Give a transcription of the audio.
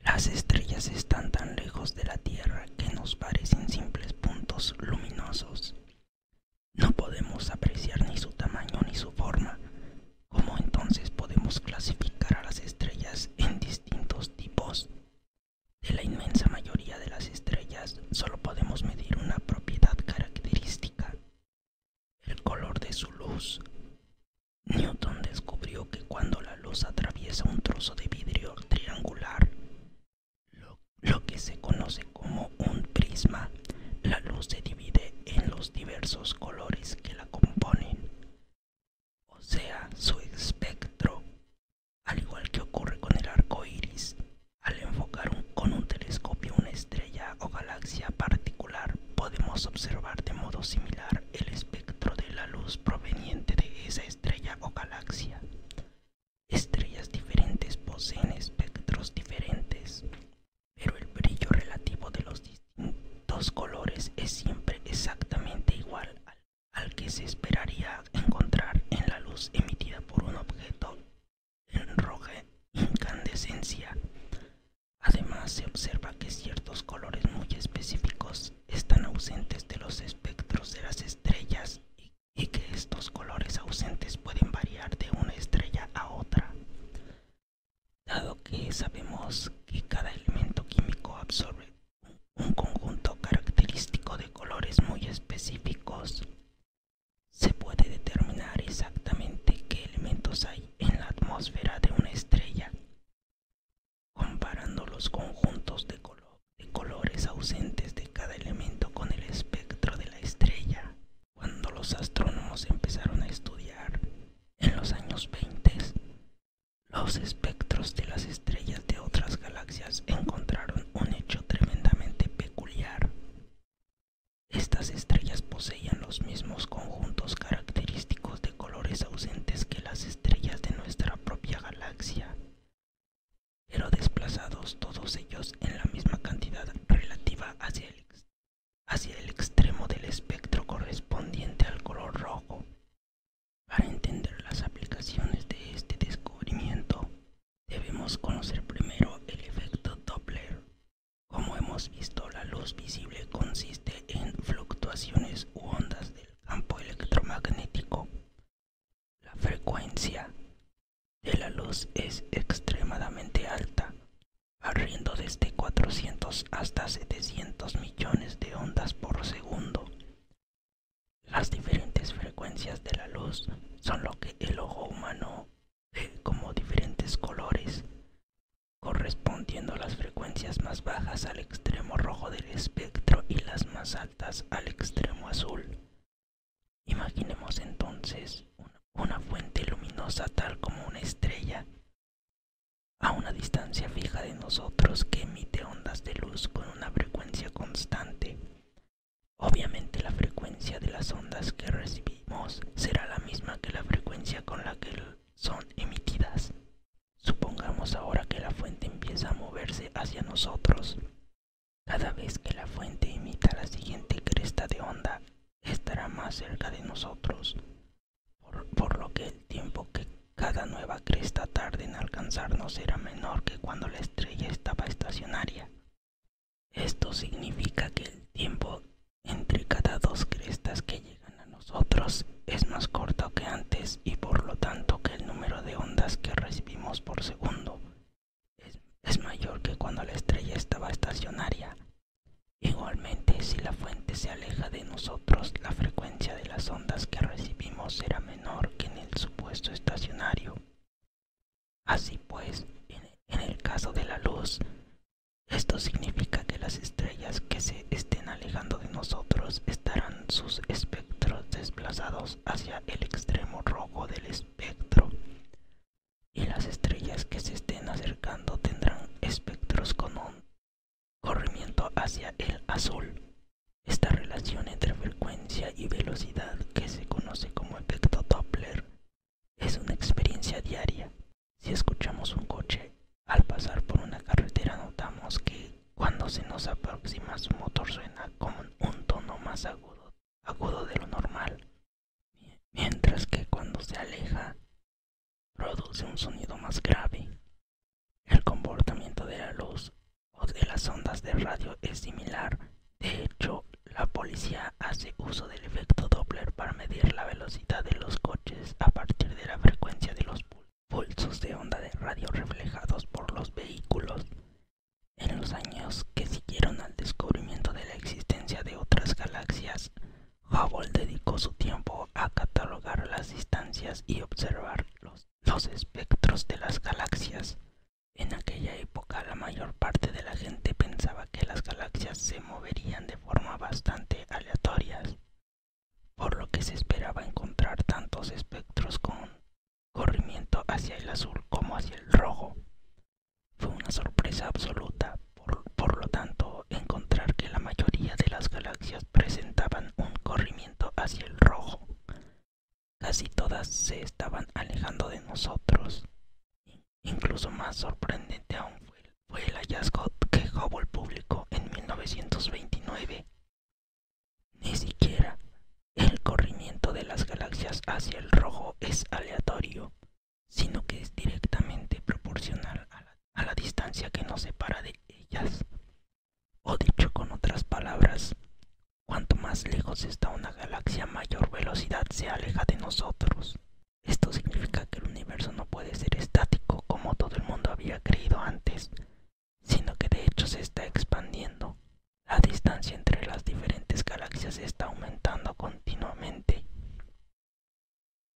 Las estrellas están tan lejos de la Tierra que nos parecen simples puntos luminosos. No podemos apreciar ni su tamaño ni su forma. ¿Cómo entonces podemos clasificar a las estrellas en distintos tipos? De la inmensa mayoría de las estrellas solo podemos medir una propiedad característica, el color de su luz. Newton descubrió que cuando la luz atraviesa un trozo de vidrio triangular, lo, que se conoce como un prisma, la luz se divide en los diversos colores que la componen, o sea, su espectro, al igual que ocurre con el arco iris. Al enfocar con un telescopio una estrella o galaxia particular podemos observar de modo similar el espectro de la luz proveniente de esa estrella o galaxia. Estrellas diferentes poseen espectros diferentes, pero el brillo relativo de los distintos colores es siempre exactamente igual al que se esperaría encontrar en la luz emitida por un objeto en roja incandescencia. Además, se observa que ciertos colores muy específicos están ausentes de los espectros de las estrellas y, que estos colores ausentes pueden variar de una estrella a otra. Dado que sabemos que cada elemento químico absorbe un conjunto característico de colores muy específicos, se puede determinar exactamente qué elementos hay en la atmósfera de una estrella, comparando los conjuntos de, colores ausentes de cada elemento con el espectro de la estrella. Cuando los astrónomos empezaron a estudiar en los años 20 los espectros de las estrellas de otras galaxias encontraron un hecho tremendamente peculiar. Estas estrellas poseían los mismos conjuntos característicos de colores ausentes que las estrellas de nuestra propia galaxia, pero desplazados todos ellos en la misma cantidad relativa hacia el, extremo del espectro correspondiente al color rojo. Para entender las aplicaciones de este descubrimiento, debemos conocer primero el efecto Doppler. Como hemos visto, la luz visible consiste en fluctuaciones u ondas del campo electromagnético. La frecuencia de la luz es extremadamente alta, arriendo desde 400 hasta 700 millones de ondas por segundo. Las diferentes frecuencias de la luz son lo que el ojo humano como diferentes colores, correspondiendo las frecuencias más bajas al extremo rojo del espectro y las más altas al extremo azul. Imaginemos entonces una fuente luminosa tal como una estrella a una distancia fija de nosotros que emite ondas de luz con una frecuencia constante Obviamente la frecuencia de las ondas que recibimos será la misma que la frecuencia con la que son emitidas. Supongamos ahora que la fuente empieza a moverse hacia nosotros. Cada vez que la fuente emita la siguiente cresta de onda, estará más cerca de nosotros, por, lo que el tiempo que cada nueva cresta tarde en alcanzarnos será menor que cuando la estrella estaba estacionaria. Esto significa que el tiempo entre cada dos crestas que llegan a nosotros es más corto que antes y por lo tanto que el número de ondas que recibimos por segundo es mayor que cuando la estrella estaba estacionaria. Igualmente, si la fuente se aleja de nosotros, la frecuencia de las ondas que recibimos será menor que en el supuesto estacionario. Así pues, en el caso de la luz, esto significa que las estrellas que se estén alejando de nosotros estarán sus espectros desplazados hacia el extremo rojo del espectro y las estrellas que se estén acercando tendrán espectros con un corrimiento hacia el azul. Esta relación entre frecuencia y velocidad, que se conoce como efecto Doppler, es una experiencia diaria. Si escuchamos un coche, al pasar por una carretera notamos que cuando se nos aproxima su motor suena con un tono más agudo de lo normal, mientras que cuando se aleja produce un sonido más grave. El comportamiento de la luz o de las ondas de radio es similar. De hecho, la policía hace uso del efecto Doppler para medir la velocidad de los coches a partir de la frecuencia de los pulsos de onda de radio reflejados por los vehículos. En los años que siguieron al descubrimiento de la existencia de otras galaxias, Hubble dedicó su tiempo a catalogar las distancias y observarlos los espectros de las galaxias. En aquella época la mayor parte de la gente pensaba que las galaxias se moverían de forma bastante aleatorias, por lo que se esperaba encontrar tantos espectros con corrimiento hacia el azul como hacia el rojo. Fue una sorpresa absoluta, por, por lo tanto, encontrar que la mayoría de las galaxias presentaban un corrimiento hacia el rojo. Casi todas se estaban alejando de nosotros. Incluso más sorprendente aún fue el hallazgo que Hubble publicó en 1929. Ni siquiera el corrimiento de las galaxias hacia el rojo es aleatorio, sino que es directamente proporcional a la a la distancia que nos separa de ellas. O dicho con otras palabras, cuanto más lejos está una galaxia, mayor velocidad se aleja de nosotros. Esto significa que el universo no puede ser estático como todo el mundo había creído antes, sino que de hecho se está expandiendo. La distancia entre las diferentes galaxias está aumentando continuamente.